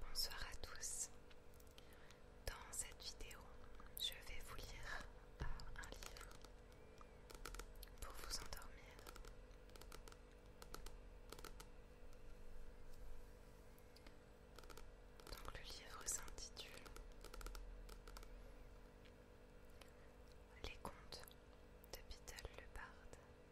Bonsoir à tous. Dans cette vidéo, je vais vous lire un livre pour vous endormir. Donc le livre s'intitule Les contes de le Barde.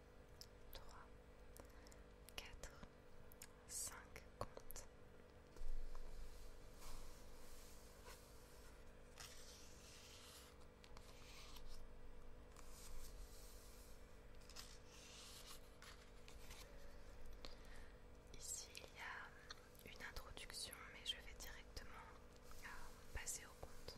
3, 4, 5 comptes. Ici, il y a une introduction, mais je vais directement euh, passer au compte.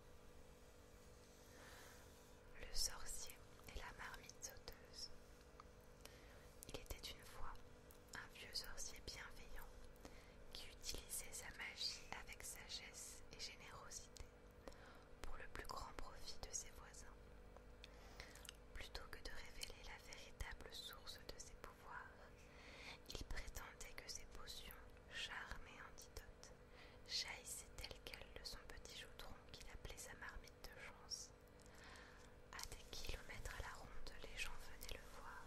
Le sorcier et la marmite sauteuse. Il était une fois un vieux sorcier bienveillant qui utilisait sa magie avec sagesse et générosité pour le plus grand profit de ses voisins. Plutôt que de révéler la véritable source de ses pouvoirs, il prétendait que ses potions charme et antidote, jaillissait tel quel de son petit chaudron qu'il appelait sa marmite de chance. À des kilomètres à la ronde, les gens venaient le voir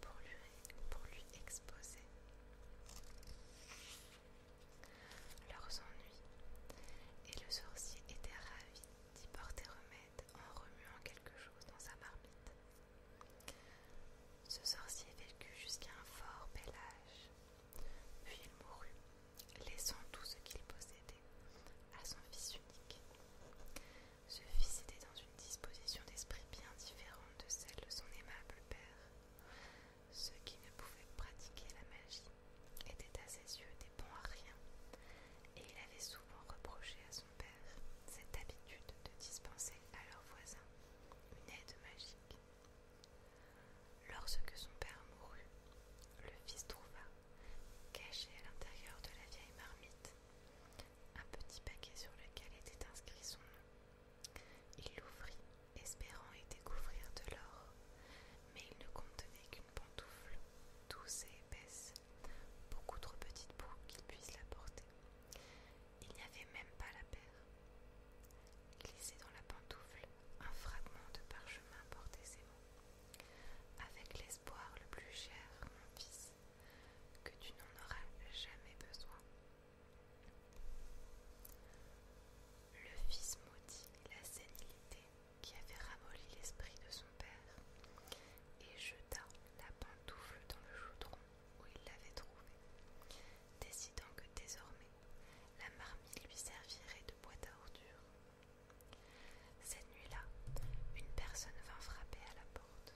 pour lui, pour lui exposer leurs ennuis, et le sorcier était ravi d'y porter remède en remuant quelque chose dans sa marmite. Ce sorcier vécut jusqu'à un fort bel âge, puis il mourut, laissant tout ce qu'il possédait à son fils unique. Ce fils était dans une disposition d'esprit bien différente de celle de son aimable père. Ceux qui ne pouvaient pratiquer la magie étaient à ses yeux des bons à rien, et il avait souvent reproché à son cette habitude de dispenser à leurs voisins une aide magique. Lorsque son père mourut, le fils trouva, caché à l'intérieur de la vieille marmite, un petit paquet sur lequel était inscrit son nom. Il l'ouvrit, espérant y découvrir de l'or, mais il ne contenait qu'une pantoufle douce et épaisse beaucoup trop petite pour qu'il puisse la porter. Il n'y avait même pas la paire. Glissé dans la pantoufle, un fragment de parchemin portait ses mots. Avec l'espoir le plus cher, mon fils, que tu n'en auras jamais besoin. Le fils maudit la sénilité qui avait ramolli l'esprit de son père et jeta la pantoufle dans le chaudron où il l'avait trouvée, décidant que désormais la marmite lui servirait de boîte à ordures. Cette nuit-là, une personne vint frapper à la porte.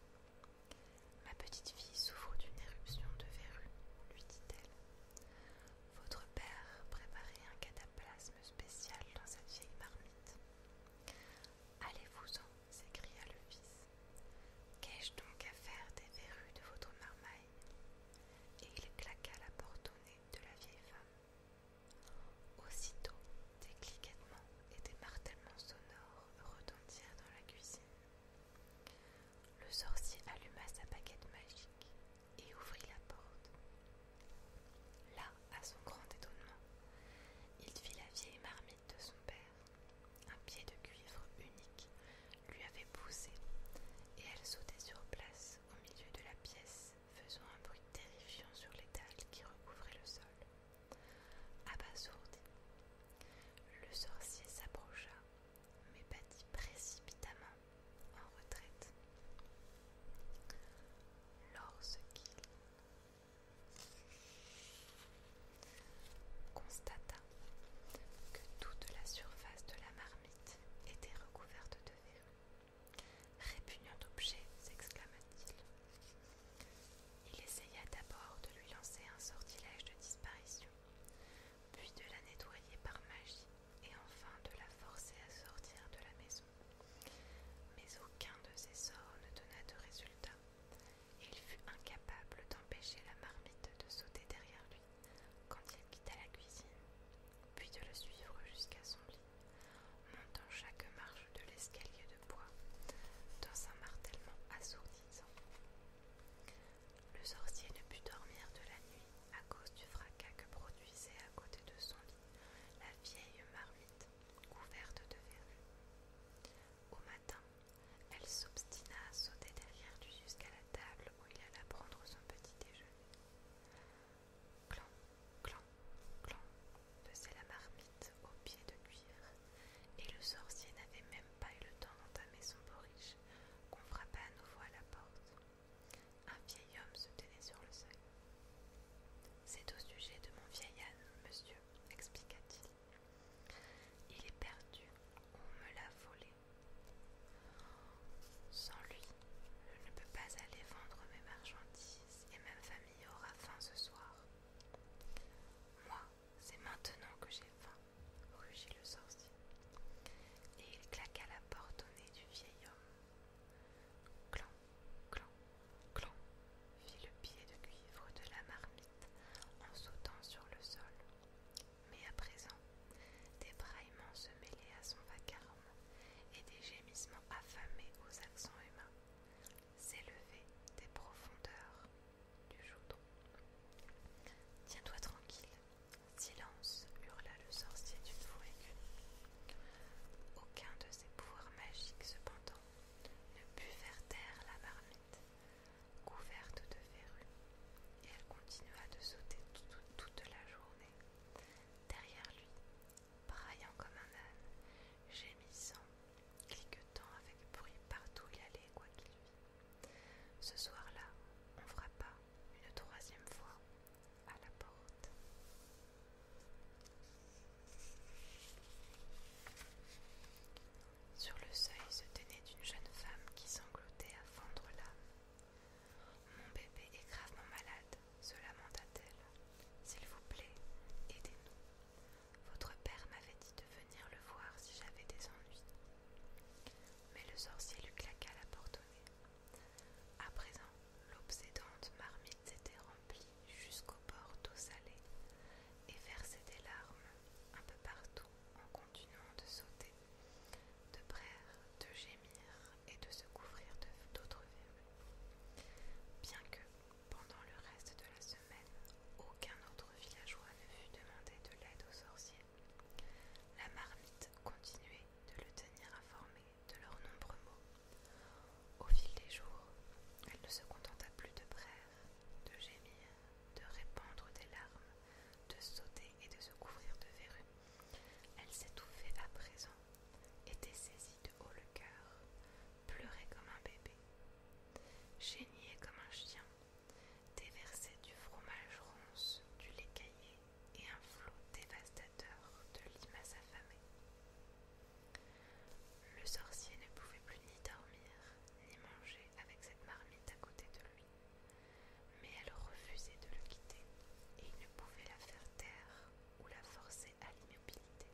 Ma petite fille souffre d'une éruption de verrues, lui dit-elle. Votre père préparait un cataplasme spécial dans cette vieille marmite. Allez-vous-en s'écria le fils. Qu'ai-je donc à faire des verrues de votre marmaille Et il claqua la porte au nez de la vieille femme. Aussitôt, des cliquettements et des martèlements sonores retentirent dans la cuisine. Le sorcier alluma sa baguette magique et ouvrit la porte. Là, à son grand étonnement, il vit la vieille marmaille de son père. Un pied de cuivre unique lui avait poussé, et elle sautait sur place au milieu de la pièce, faisant un bruit terrifiant sur les dalles qui recouvraient le sol. Abasourdi, le sorcier s'approcha, mais battit précipitamment en retraite. Lorsqu'il constata que toute la surface de la marmite était recouverte de verre, Répugnant objet, s'exclama-t-il. Il essaya d'abord de lui lancer un sortilège de disparition, puis de la nettoyer par magie et enfin de la forcer à sortir de la maison. Mais aucun de ses sorts ne donna de résultat. Il fut incapable d'empêcher la marmite de sauter derrière lui quand il quitta la cuisine, puis de le suivre jusqu'à son lit, montant chaque marche de l'escalier de bois dans un martèlement assourdissant. Le sorcier ne put dormir de la nuit à cause du fracas que produisait à côté de son lit la vieille marmite couverte de verrues. Au matin, elle s'obstina à sauter derrière lui jusqu'à la table où il alla prendre son petit déjeuner. Clan, clan, clan, faisait la marmite au pied de cuir, et le sorcier n'avait même pas eu le temps d'entamer son boriche, qu'on frappa à nouveau à la porte. Un vieil homme se tenait sur le seuil. C'est au sujet de mon vieil âne, monsieur, expliqua-t-il. Il est perdu, on me l'a volé. Sans lui, je ne peux pas aller vendre mes marchandises et ma famille aura faim ce soir. Moi, c'est maintenant que j'ai faim, rugit le sorcier. Et il claqua la porte au nez du vieil homme. Clan, clan, Clan fit le pied de cuivre de la marmite en sautant sur le sol. Mais à présent, des braillements se mêlaient à son vacarme et des gémissements affamés aux accents humains s'élevaient des profondeurs du chaudron. Tiens-toi tranquille, silence, hurla le sorcier d'une voix aiguë. Aucun de ses pouvoirs magiques, cependant, ne put faire taire la marmite, couverte de verrues, et elle continua de sauter toute, la journée. Derrière lui, braillant comme un âne, gémissant, cliquetant avec bruit partout où il allait, quoi qu'il vît. Ce soir-là, on frappa une troisième fois à la porte. Sur le seuil se tenait une jeune femme qui sanglotait à fendre l'âme. Mon bébé est gravement malade, se lamenta-t-elle. S'il vous plaît, aidez-nous. Votre père m'avait dit de venir le voir si j'avais des ennuis. Mais le sorcier lui claqua la porte au nez. À présent, l'obsédante marmite s'était jusqu'au bord d'eau salée et verser des larmes un peu partout en continuant de sauter, de braire, de gémir et de se couvrir d'autres verrues. Bien que, pendant le reste de la semaine, aucun autre villageois ne fût demandé de l'aide aux sorciers, la marmite continuait de le tenir informé de leurs nombreux mots. Au fil des jours, elle ne se contenta plus de prières, de gémir, de répandre des larmes, de sauter et de se couvrir de verrues. Elle s'étouffait à présent, était saisie de haut le cœur, pleurait comme un bébé, geignait comme un chien, déversait du fromage ronce, du lait caillé et un flot dévastateur de limaces affamées. Le sorcier ne pouvait plus ni dormir, ni manger avec cette marmite à côté de lui, mais elle refusait de le quitter et il ne pouvait la faire taire ou la forcer à l'immobilité.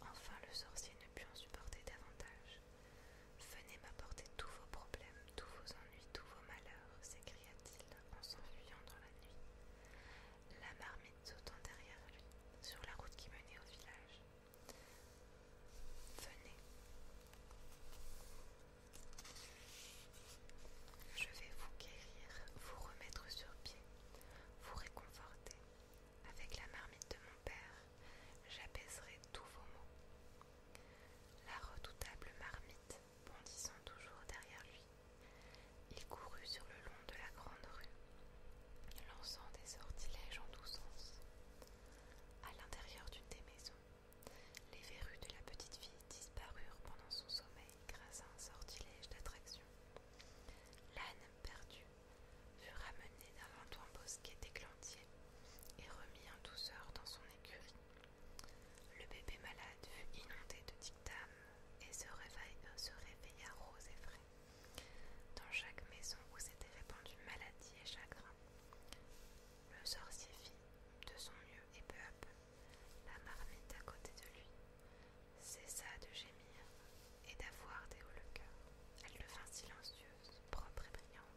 Enfin, le sorcier ne put en supporter davantage. Venez m'apporter tous vos problèmes, tous vos ennuis, tous vos malheurs, s'écria t il en s'enfuyant dans la nuit. La marmite sautant derrière lui, sur la route qui menait au village. Venez. Je vais vous guérir, vous remettre sur pied, vous réconforter. Avec la marmite de mon père, j'apaiserai tous vos maux. La redoutable marmite bondissant toujours derrière lui. Il courut sur le long de la grande rue, lançant des sortilèges en tous sens. À l'intérieur d'une des maisons, les verrues de la petite fille disparurent pendant son sommeil grâce à un sortilège d'attraction. L'âne perdue, fut ramenée d'un un bosquet d'éclantier et remis en douceur dans son écurie. Le bébé malade fut inondé de dictames, et euh, se, réveilla, rose et frais. Dans chaque maison où s'étaient répandues maladie et chagrin, le sorcier fit de son mieux et peu à peu, la marmite à côté de lui cessa de gémir et d'avoir des hauts le cœur. Elle devint silencieuse, propre et brillante.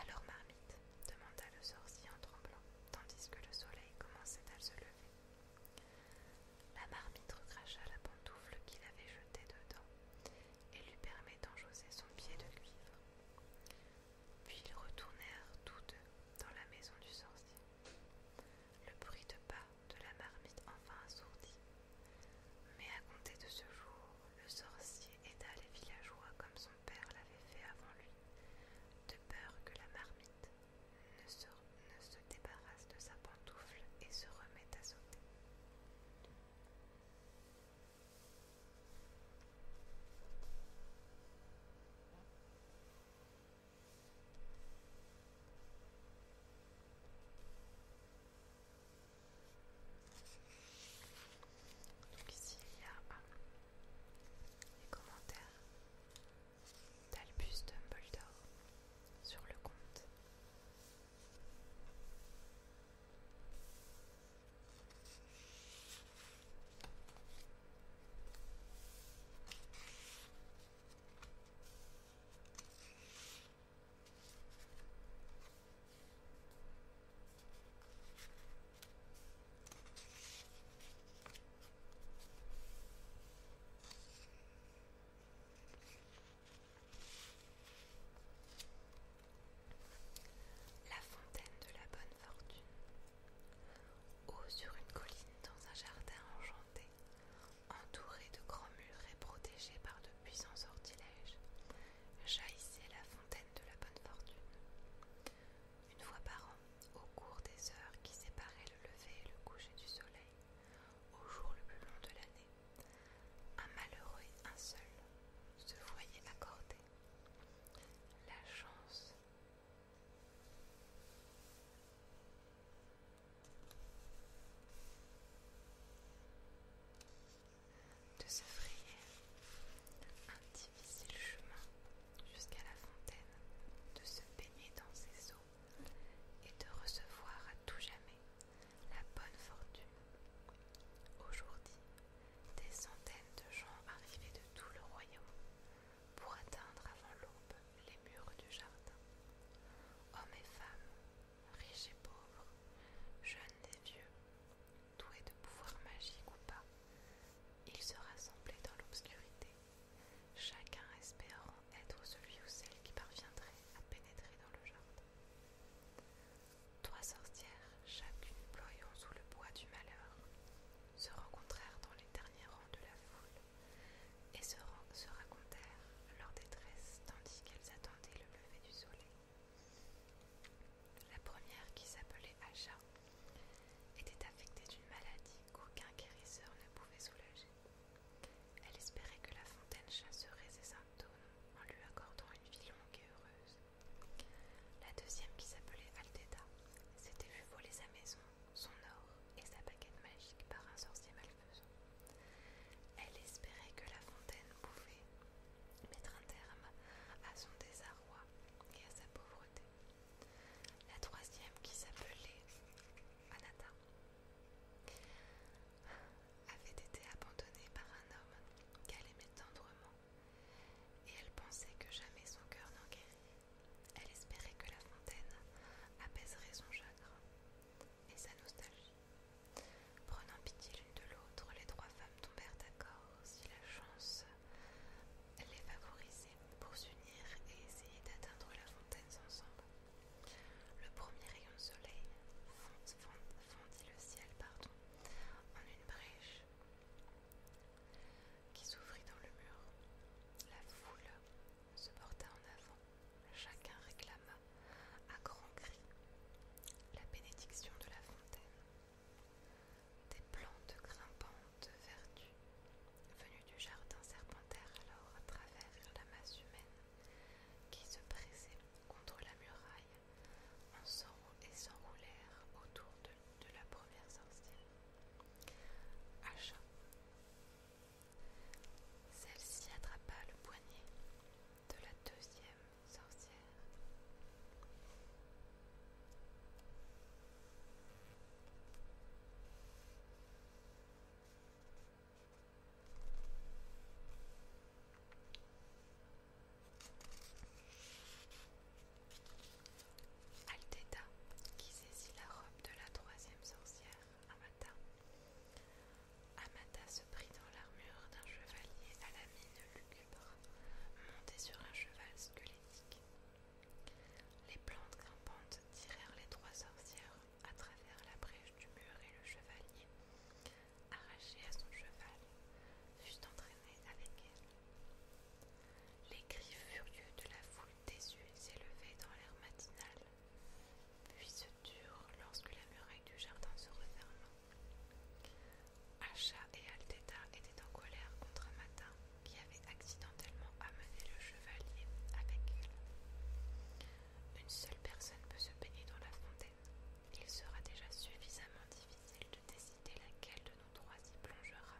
Alors Marmite demanda le sorcier en tremblant, tandis que le soleil commençait à se lever. La marmite recracha la pantoufle qu'il avait jetée dedans et lui permit joser son pied de cuivre. Puis ils retournèrent tous deux dans la maison du sorcier. Le bruit de pas de la marmite enfin assourdit. Mais à compter de ce jour, le sorcier aida les villageois comme son père l'avait fait avant lui, de peur que la marmite ne ne se débarrasse de sa pantoufle et se remette à sauter. Donc ici il y a euh, les commentaires d'Albus Dumbledore sur le compte. La fontaine de la bonne fortune. Haut sur une colline dans un jardin enchanté, entouré de grands murs et protégé par de puissants sortilèges, jaillissait la fontaine de la bonne fortune. Une fois par an, au cours des heures qui séparaient le lever et le coucher du soleil, au jour le plus long de l'année, un malheureux et un seul se voyait accorder la chance de se frayer un difficile chemin jusqu'à la fontaine, de se baigner dans ses eaux et de recevoir à tout jamais la bonne fortune. Aujourd'hui, des centaines de gens arrivaient de tout le royaume pour atteindre avant l'aube les murs du jardin. Hommes et femmes, riches et pauvres, jeunes et vieux, doués de pouvoirs magiques ou pas, ils se rassemblaient dans l'obscurité, chacun espérant être celui ou celle qui parviendrait à pénétrer dans le jardin. Trois sorcières, chacune ployant sous le poids du malheur, se rencontrèrent dans les derniers rangs de la foule et se racontèrent leur détresse tandis qu'elles attendaient le lever du soleil. La première, qui s'appelait Acha, était affectée d'une maladie qu'aucun guérisseur ne pouvait soulager. Elle espérait que la fontaine chasserait ses symptômes en lui accordant une vie longue et heureuse. La deuxième, qui s'appelait Alteda, s'était vu voler sa maison, son or et sa baguette magique par un sorcier malfaisant. Elle espérait que la fontaine pouvait mettre un terme à son désarroi et à sa pauvreté. La troisième, qui s'appelait Anata, avait été abandonnée par un homme qu'elle aimait tendrement, et elle pensait que jamais son cœur n'en guérit. Elle espérait que la fontaine apaiserait son chagrin et sa nostalgie. Prenant pitié l'une de l'autre, les trois femmes tombèrent d'accord si la chance elle les favorisait pour s'unir et essayer d'atteindre la fontaine ensemble. Le premier rayon de soleil fondit le ciel pardon, en une brèche qui s'ouvrit dans le mur. La foule se porta en avant, chacun réclama à grands cris la bénédiction de la fontaine. Des plantes grimpantes vertues, venues du jardin serpentaire alors à travers la masse humaine, qui se pressait contre la muraille en et s'enroulèrent autour de, la première sorcière. Achat. Celle-ci attrapa le poignet de la deuxième sorcière Alteta, qui saisit la robe de la troisième sorcière, Amata. Amata se prit dans l'armure d'un chevalier à la mine lugubre, monté sur un cheval les plantes grimpantes tirèrent les trois sorcières à travers la brèche du mur et le chevalier, arraché à son cheval, fut entraîné avec elles. Les cris furieux de la foule yeux s'élevaient dans l'air matinal, puis se durent lorsque la muraille du jardin se referma. Acha et Alteta étaient en colère contre un Matin qui avait accidentellement amené le chevalier avec elle. Une seule personne peut se baigner dans la fontaine. Il sera déjà suffisamment difficile de décider laquelle de nos trois y plongera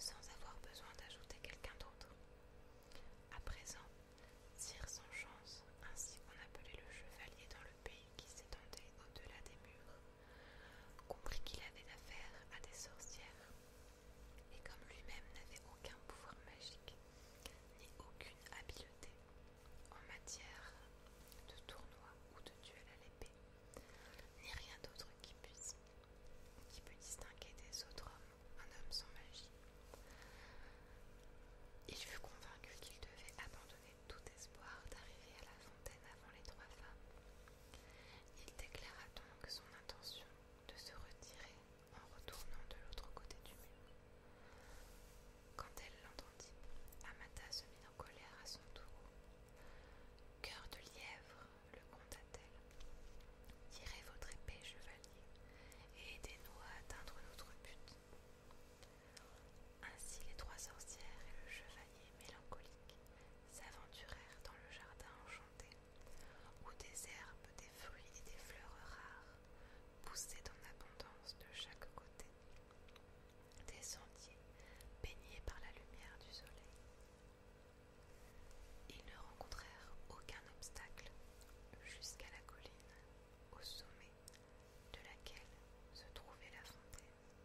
sans avoir besoin d'ajouter quelqu'un d'autre. À présent, tire sans chance, ainsi qu'on appelait le chevalier dans le pays qui s'étendait au-delà des murs, Compris qu'il avait affaire à des sorcières, et comme lui-même n'avait aucun pouvoir magique, ni aucune habileté en matière de tournoi ou de duel à l'épée, ni rien d'autre qui puisse, qui peut distinguer des autres hommes un homme sans magie. Il fut convaincu qu'il devait abandonner tout espoir d'arriver à la fontaine avant les trois femmes il déclara donc son intention de se retirer en retournant de l'autre côté du mur. Quand elle l'entendit, Amata se mit en colère à son tour. Cœur de lièvre, le conta t elle tirez votre épée, chevalier, et aidez-nous à atteindre notre but. Ainsi les trois sorcières et le chevalier mélancolique s'aventurèrent dans le jardin enchanté, où des herbes, des fruits et des fleurs rares poussaient en abondance de chaque côté. Des sentiers baignés par la lumière du soleil. Ils ne rencontrèrent aucun obstacle jusqu'à la colline, au sommet de laquelle se trouvait la fontaine.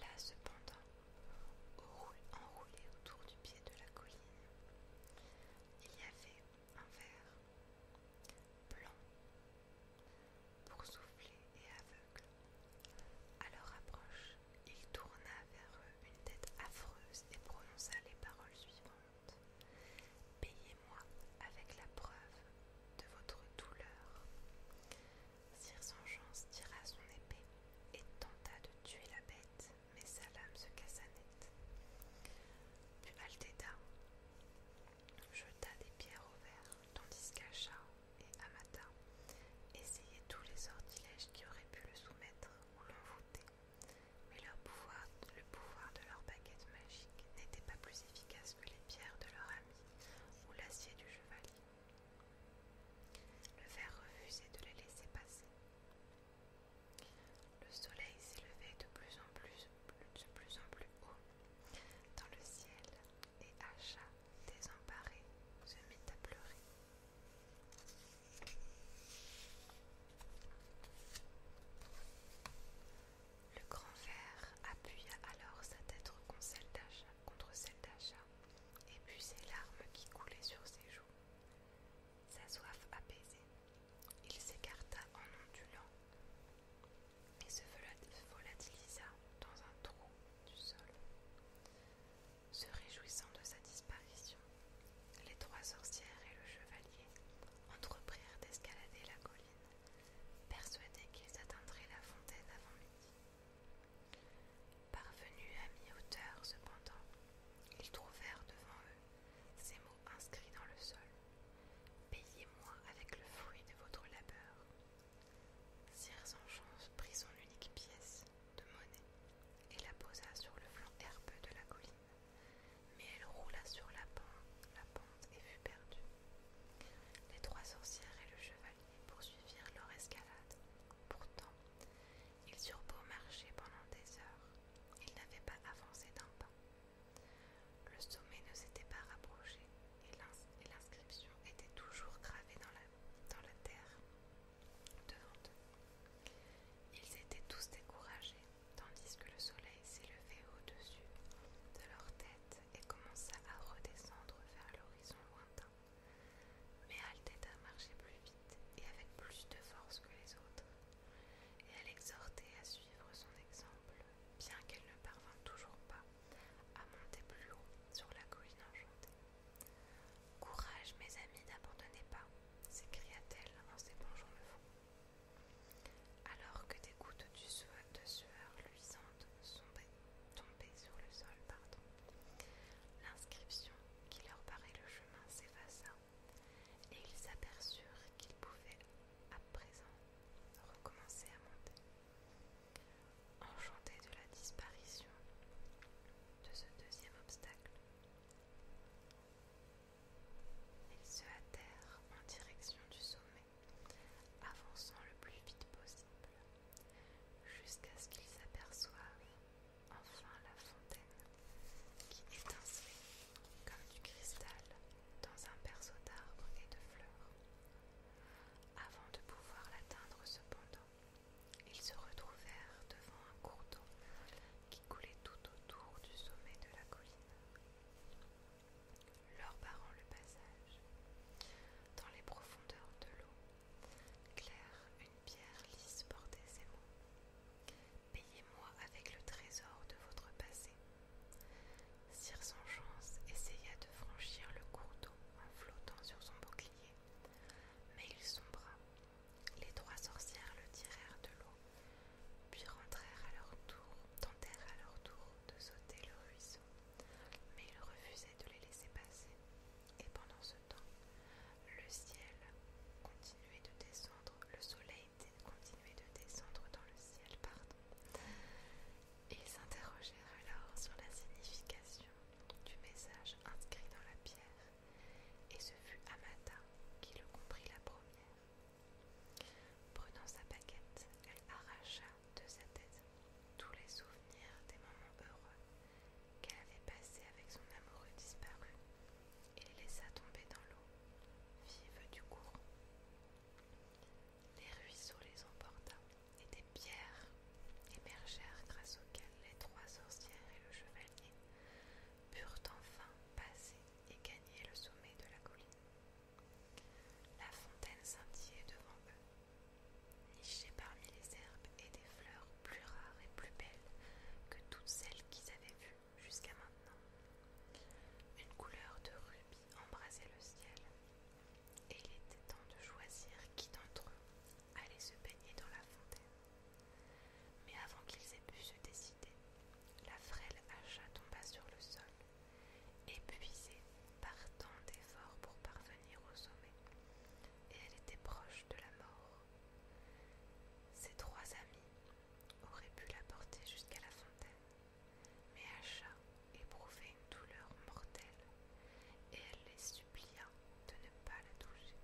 Là, cependant, enroulé autour du pied de la colline, il y avait un verre blanc pour souffler et aveugle. À leur approche, il tourna vers eux une tête affreuse et prononça les paroles suivantes. Payez-moi avec la preuve de votre douleur. Sir tira son épée et tenta de tuer la bête, mais sa lame se cassa net. Puis Altéda jeta des pierres au verre, tandis qu'Acha et Amata essayaient tous les sortilèges qui auraient pu le soumettre ou l'envoûter, mais leur pouvoir, le pouvoir de leur baguette magique n'était pas plus efficace que les pierres de leur ami ou l'acier du chevalier. Le ver refusait de les laisser passer. Le soleil s'élevait de plus en plus, de plus en plus haut dans le ciel et Acha, désemparé, se mit à pleurer. Le grand ver appuya alors sa tête contre celle d'Acha et puis ses larmes qui coulaient sur ses joues. Sa soif apaisée, il s'écarta en ondulant et se volatilisa dans un trou du sol. Se réjouissant de sa disparition, les trois sorcières et le chevalier entreprirent d'escalader la colline, persuadés qu'ils atteindraient la fontaine avant midi. Parvenus à mi-hauteur cependant, ils trouvèrent devant eux ces mots inscrits dans le sol. Payez-moi avec le fruit de votre labeur. en prit son unique pièce de monnaie et la posa sur le flanc herbeux de la colline, mais elle roula sur la pente, la pente et fut perdue. Les trois sorcières et le chevalier poursuivirent leur escalade Pourtant, ils eurent beau marcher pendant des heures, ils n'avaient pas avancé d'un pas. Le sommet ne s'était pas rapproché et l'inscription était toujours gravée dans la, terre devant eux. Ils étaient tous découragés, tandis que le soleil s'élevait au-dessus de leur tête et commença à redescendre vers l'horizon lointain. Mais Mais à marcher plus vite et avec plus de force que les autres, et elle exhortait à suivre son exemple, bien qu'elle ne parvint toujours pas à monter plus haut sur la colline enchantée. Courage, mes amis, n'abandonnez pas, s'écria-t-elle en s'épongeant le front. Alors que des gouttes de sueur luisantes sont tomber sur le sol. pardon. L'inscription qui leur paraît le chemin s'effaça et ils aperçurent qu'ils pouvaient à présent recommencer à monter. Enchantés de la disparition de ce deuxième obstacle, ils se hâtèrent en direction du sommet, avançant le plus vite possible jusqu'à ce qu'ils aperçoivent enfin la fontaine qui étincelait comme du cristal dans un berceau d'arbres et de fleurs. Avant de pouvoir l'atteindre cependant, ils se retrouvèrent devant un cours d'eau qui coulait tout autour du sommet de la colline, leur barrant le passage. Dans les profondeurs de l'eau, Claire, une pierre lisse portait ses mots. Payez-moi avec le trésor de votre passé. Sire essaya de franchir le cours d'eau en flottant sur son bouclier, mais il sombra. Les trois sorcières le tirèrent de l'eau, puis rentrèrent à leur tour, tentèrent à leur tour de sauter le ruisseau, mais il refusait de les laisser passer. Et pendant ce temps, le ciel continuait de descendre, le soleil continuait de descendre dans le ciel, pardon. Ils s'interrogèrent alors sur la signification du message inscrit dans la pierre, et ce fut Amata qui le comprit la première. Prenant sa baguette, elle arracha de sa tête tous les souvenirs des moments heureux qu'elle avait passé avec son amoureux disparu et les laissa tomber dans l'eau, vive du courant. Les ruisseaux les emporta et des pierres émergèrent grâce auxquelles les trois sorcières et le chevalier purent enfin passer et gagner le sommet de la colline. La fontaine scintillait devant eux nichés parmi les herbes et des fleurs plus rares et plus belles que toutes celles qu'ils avaient vues jusqu'à maintenant. Une couleur de rubis embrasait le ciel, et il était temps de choisir qui d'entre eux allait se baigner dans la fontaine. Mais avant qu'ils aient pu se décider, la frêle hacha tomba sur le sol, épuisée par tant d'efforts pour parvenir au sommet, et elle était proche de la mort. Ses trois amis auraient pu la porter jusqu'à la fontaine, mais Acha éprouvait une douleur mortelle et elle les supplia de ne pas la toucher.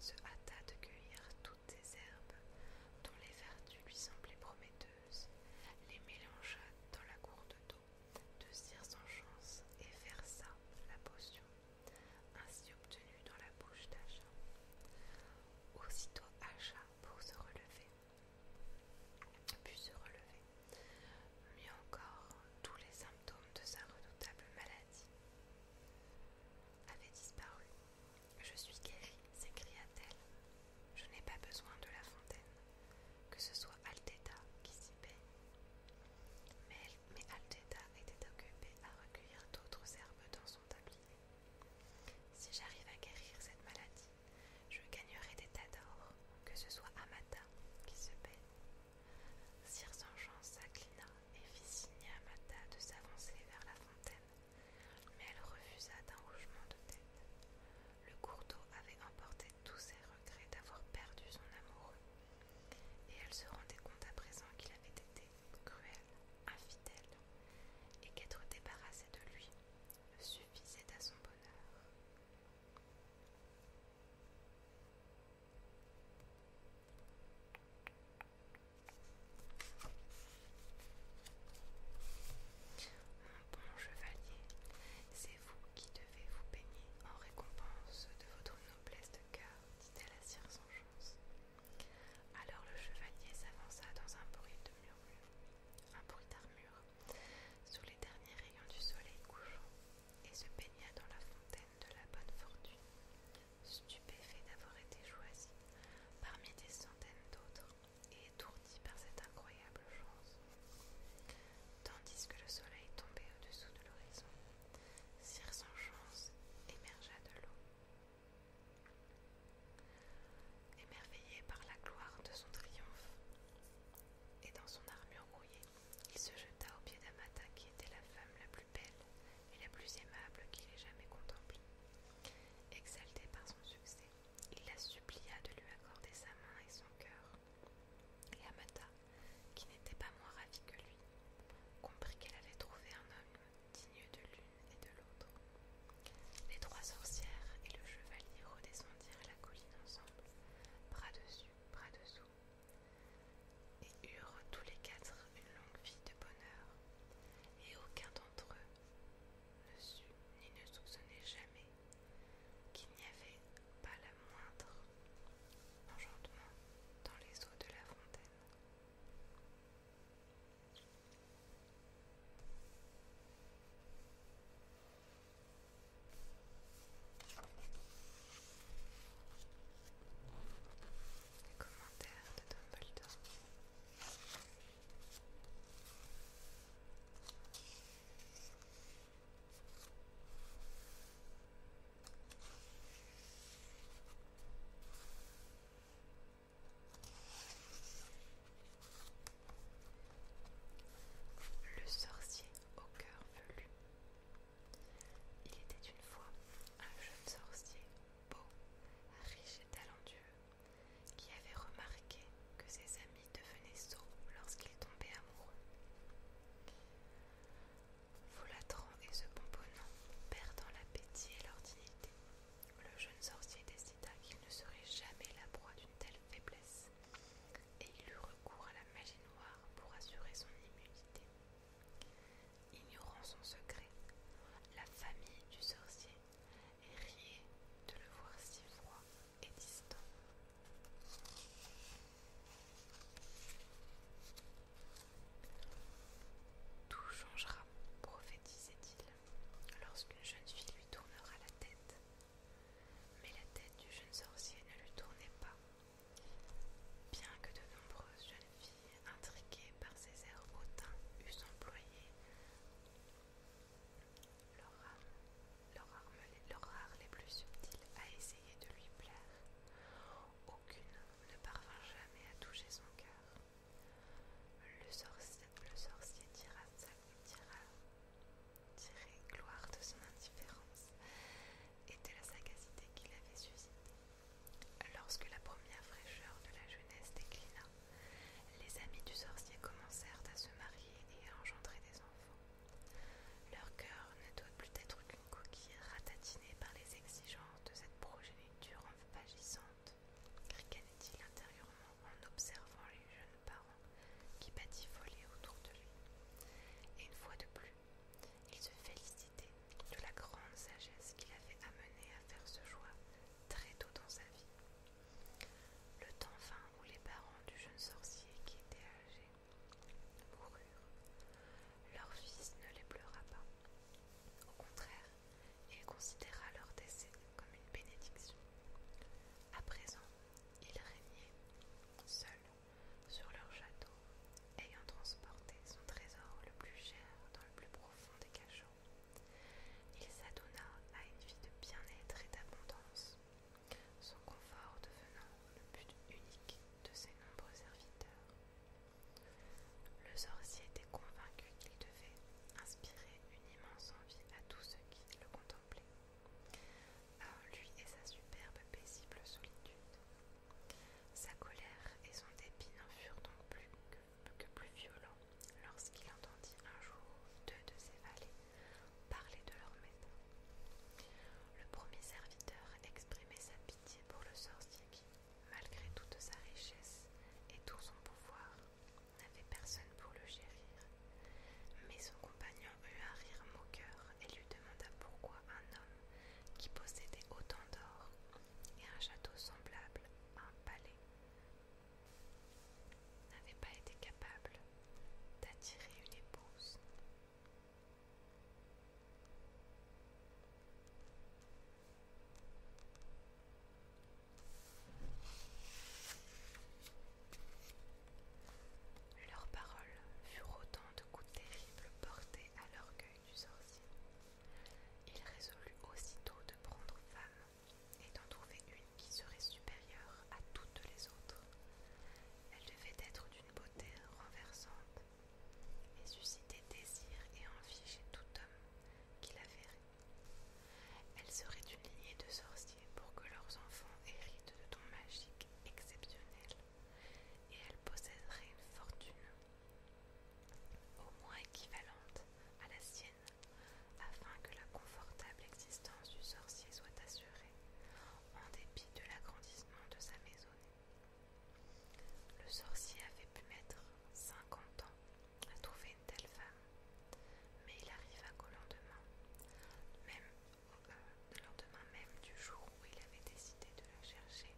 se hâta de cueillir toutes ces herbes dont les vertus lui semblaient prometteuses, les mélangea dans la gourde d'eau de cire sans chance et versa la potion, ainsi obtenue dans la bouche d'Acha. Aussitôt Acha pour se relever, put se relever, mais encore tous les symptômes de sa redoutable maladie avaient disparu. Je suis guérie, s'écria-t-elle. Je n'ai pas besoin de la fontaine, que ce soit Alteta qui s'y paie. » Mais, mais Alteta était occupée à recueillir d'autres herbes dans son tablier. Si j'arrive à guérir cette maladie, je gagnerai des tas d'or, que ce soit Amata qui se baigne. Sire Jean s'inclina et fit signe à Amata de s'avancer vers la fontaine mais elle refusa d'un rougement de tête. Le d'eau avait emporté tous ses regrets d'avoir perdu son amoureux, et elle se rendait compte à présent qu'il avait été cruel, infidèle, et qu'être débarrassée de lui suffisait à son bonheur. Mon bon chevalier, c'est vous qui devez vous baigner en récompense de votre noblesse de cœur, dit-elle à Sire chance. Alors le chevalier s'avança dans un bruit de murmure, un bruit d'armure, sous les derniers rayons du soleil couchant, et se baigna dans la fontaine de la bonne fortune, stupéfait d'avoir été choisi parmi des centaines d'autres et étourdi par cette incroyable chance. Tandis que le soleil tombait au-dessous de l'horizon, Sire sans émergea de l'eau. Émerveillé par la gloire de son triomphe et dans son armure rouillée, il se jeta aux pieds d'Amata qui était la femme la plus belle et la plus aimable qu'il ait jamais contemplée. Exalté par son succès, il la supplia de lui accorder sa main et son cœur. Et Amata, qui n'était pas moins ravie que lui, comprit qu'elle avait trouvé un homme digne de l'une et de l'autre. Les trois sorcières et le chevalier redescendirent la colline ensemble, bras dessus, bras dessous, et eurent tous les quatre une longue vie de bonheur, et aucun d'entre eux ne ni ne soupçonnait jamais qu'il n'y avait pas la moindre enchantement dans les eaux de la fontaine. Les commentaires de Dumbledore. Le sorcier au cœur velu. Il était une fois un jeune sorcier beau, riche et talentueux, qui avait remarqué que ses amis devenaient sots lorsqu'ils tombaient amoureux. Volatrant et se pomponnant, perdant l'appétit et leur dignité, le jeune sorcier décida qu'il ne serait jamais la proie d'une telle faiblesse, et il eut recours à la magie noire pour assurer son immunité. Ignorant son secret, la famille du sorcier et de le voir si froid et distant. Tout changera, prophétisait-il, lorsqu'une jeune fille lui tournera la tête. Mais la tête du jeune sorcier ne lui tournait pas. Bien que de nombreuses jeunes filles intriguées par ses airs hautains eussent employé leur arme, leur, arme, les plus subtils a essayé de lui plaire. Aucune ne parvint jamais à toucher son cœur. Le sorcier, le sorcier tira, gloire de son indifférence et de la sagacité qu'il avait suscitée. Lorsque la première fraîcheur de la jeunesse déclina, les amis du sorcier commencèrent à se marier et à engendrer des enfants. Leur cœur ne doit plus être qu'une coquille ratatinée par les exigences de cette progéniture envagissante, ricanait-il intérieurement en observant les jeunes parents qui patifolaient autour de lui. Et une fois de plus, il se félicitait de la grande sagesse qu'il avait amenée à faire ce choix très tôt dans sa vie. Le temps vint où les parents du jeune sorcier qui était âgé moururent. Leur fils ne les pleura pas. Au contraire, il considéra leur décès comme une bénédiction. À présent, il régnait seul sur leur château, ayant transporté son trésor le plus cher dans le plus profond des cachots. Il s'adonna à une vie de bien-être et d'abondance, son confort devenant le but unique de ses nombreux serviteurs. Le sorcier était convaincu qu'il devait inspirer une immense envie à tous ceux qui le contemplaient, à ah, lui et sa superbe paisible solitude. Sa colère et son dépit n'en furent donc plus que que plus violent lorsqu'il entendit un jour deux de ses valets parler de leur maître. Le premier serviteur exprimait sa pitié pour le sorcier qui, malgré toute sa richesse et tout son pouvoir, n'avait personne pour le chérir. Mais son compagnon eut un rire moqueur et lui demanda pourquoi un homme qui possédait autant d'or et un château semblable à un palais n'avait pas été capable d'attirer une épouse. Leurs paroles furent autant de coups terribles portés à l'orgueil du sorcier. Il résolut aussitôt de prendre femme et d'en trouver une qui serait supérieure à toutes les autres. Elle devait être d'une beauté renversante et susciter désir et envie chez tout homme qui la verrait. Elle serait une lignée de sorciers pour que leurs enfants héritent de ton magique exceptionnel, et elle posséderait une fortune au moins équivalente à la sienne afin que la confortable existence du sorcier soit assurée, en dépit de l'agrandissement de sa maison, Le sorcier avait pu mettre cinquante ans à trouver une telle femme, mais il arriva qu'au lendemain, même euh, lendemain même du jour où il avait décidé de la chercher,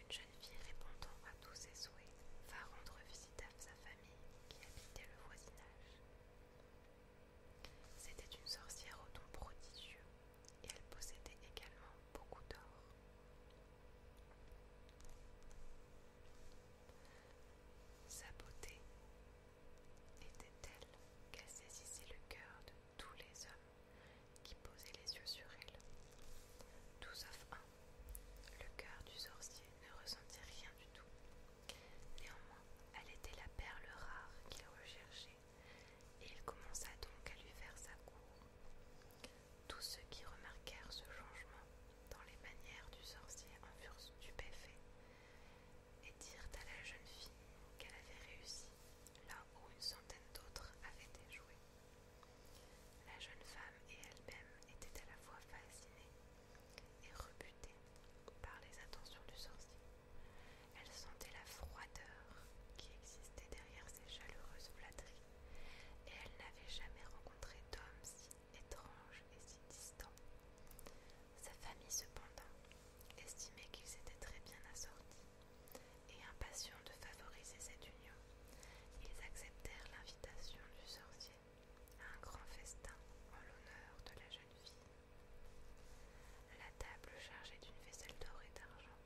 une jeune fille répondant à tous ses souhaits va rendre visite à sa famille qui habitait le voisinage. C'était une sorcière au dons prodigieux et elle possédait également beaucoup d'or. Sa beauté était telle qu'elle saisissait le cœur de tous les hommes qui posaient les yeux sur elle, tout sauf un. Le cœur du sorcier ne ressentit rien du tout. Néanmoins, elle était la perle rare qu'il recherchait, et il commença donc à lui faire sa cour. Tous ceux qui remarquèrent ce changement dans les manières du sorcier en furent stupéfaits et dirent à la jeune fille qu'elle avait réussi là où une centaine d'autres avaient échoué. La jeune femme et elle-même étaient à la fois fascinées et rebutée par les intentions du sorcier. Elle sentait la froideur qui existait derrière ces chaleureuses flatteries, et elle n'avait jamais rencontré d'homme si étrange et si distant. Sa famille, cependant, estimait qu'ils étaient très bien assortis, et impatients de favoriser cette union, ils acceptèrent l'invitation du sorcier un grand festin en l'honneur de la jeune fille. La table chargée d'une vaisselle d'or et d'argent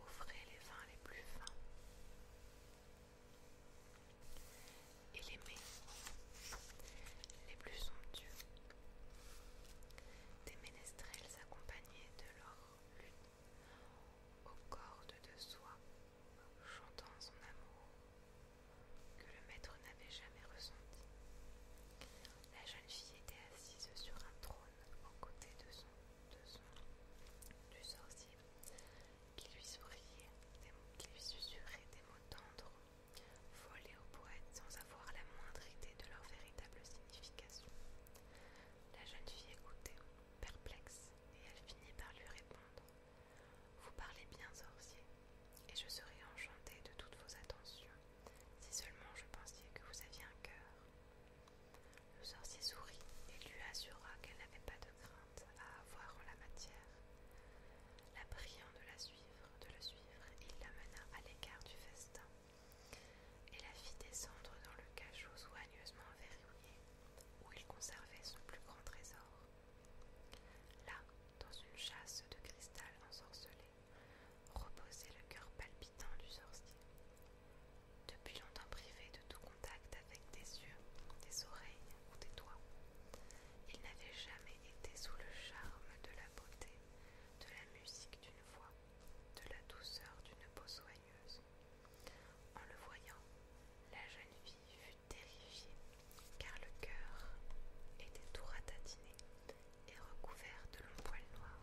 offrait les vins les plus fins et les mets les plus somptueux. Des ménestrels accompagnés de leurs lune aux cordes de soie chantant son amour que le maître n'avait jamais ressenti. La jeune fille était assise sur un trône aux côtés de son, du sorcier, qui lui souriait, des, qui lui des mots tendres, volés au poètes sans avoir la moindre idée de leur véritable signification. La jeune fille écoutait, perplexe, et elle finit par lui répondre vous parlez bien sorcier, et je serais enchantée de toutes vos attentions, si seulement je pensais que vous aviez un cœur. Le sorcier sourit et lui assura qu'elle n'avait pas de crainte à avoir en la matière. La priant de la suivre, de le suivre, il l'amena à l'écart du festin et la fit descendre dans le cachot soigneusement verrouillé où il conservait son plus grand trésor. Là, dans une chasse de cristal ensorcelé, reposait le cœur palpitant du sorcier. Depuis longtemps privé de tout contact avec des yeux, des oreilles ou des doigts, il n'avait jamais été sous le charme de la beauté, de la musique d'une voix, de la douceur d'une peau soigneuse. En le voyant, la jeune fille fut car le cœur était tout ratatiné et recouvert de longs poils noirs.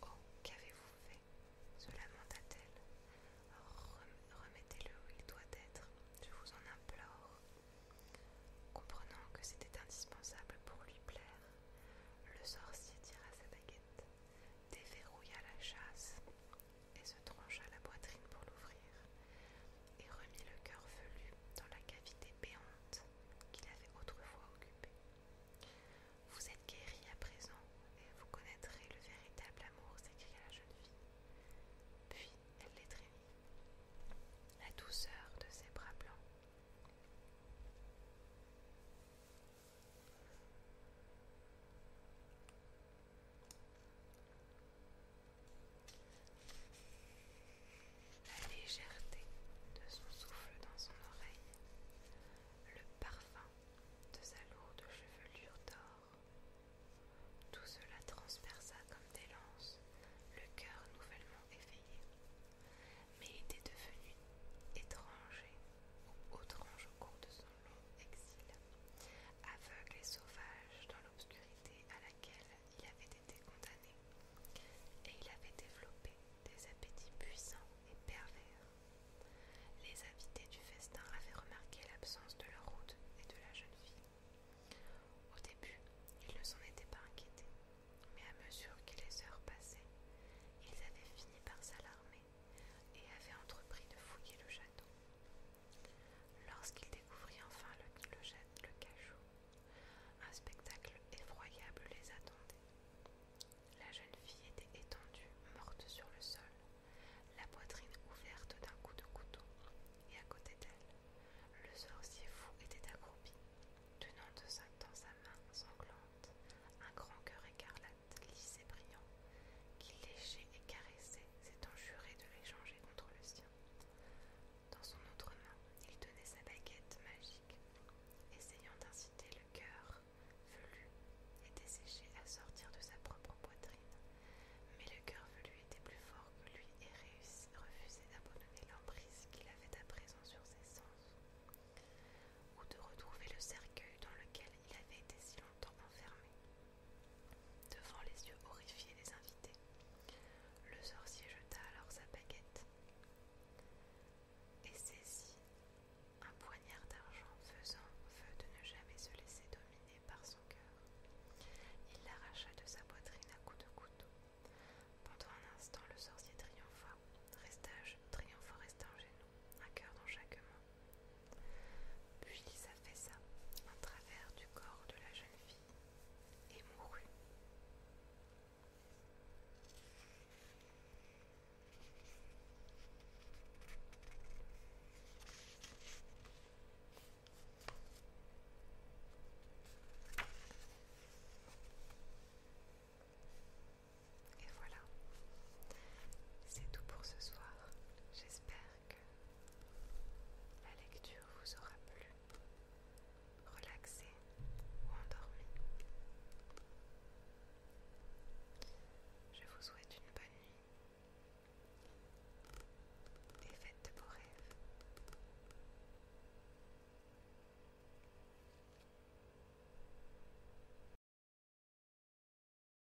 Oh, qu'avez-vous fait se lamenta-t-elle. Remettez-le où il doit être, je vous en implore. Comprenant que c'était indispensable pour lui plaire, le sorcier tira sa baguette, déverrouilla la chasse et se trancha la poitrine pour l'ouvrir, et remit le cœur velu dans la cavité béante qu'il avait autrefois occupée. Vous êtes guéri à présent, et vous connaîtrez le véritable amour, s'écria la jeune fille. Puis elle l'étreignit. La douceur de ses bras blancs. La légèreté de son souffle dans son oreille, le parfum de sa lourde chevelure d'or, tout cela transperça comme des lances le cœur nouvellement éveillé. Mais il était devenu étranger ou au cours de son exil, aveugle et sauvage dans l'obscurité à laquelle il avait été condamné, et il avait développé des appétits puissants et pervers. Les invités du festin avaient remarqué l'absence de leur hôte et de la jeune fille. Au début, ils ne s'en étaient pas inquiétés, mais à mesure que les heures passaient, ils avaient fini par s'alarmer et avaient entrepris de fouiller le château. Lorsqu'il découvrit enfin le, le, jette le cachot, un spectacle effroyable les attendait. La jeune fille était étendue, morte sur le sol, la poitrine ouverte d'un coup de couteau, et à côté d'elle, le sorcier fou était accroupi, tenant de sa, dans sa main sanglante un grand cœur écarlate lisse et brillant, qu'il léchait et caressait, s'étant juré de l'échanger contre le sien. Dans son autre main, il tenait sa baguette magique, essayant d'inciter le cœur velu et desséché à sortir de sa propre poitrine. Mais le cœur velu était plus fort que lui et réussit, refusait d'abandonner l'emprise qu'il avait à présent sur ses sens, ou de retrouver le cercueil dans lequel il avait été si longtemps enfermé. Devant les yeux horrifiés des invités, le sorcier jeta alors sa baguette et saisit un poignard d'argent faisant feu de ne jamais se laisser dominer par son cœur. Il l'arracha de sa poitrine à coups de couteau. Pendant un instant, le sorcier triompha, resta, triomphant resta un cœur dans chaque main. Puis fait ça à travers du corps de la jeune fille et mourut. Et voilà, c'est tout pour ce soir. J'espère la lecture vous aura plu, relaxé ou endormi. Je vous souhaite une bonne nuit et faites de beaux rêves.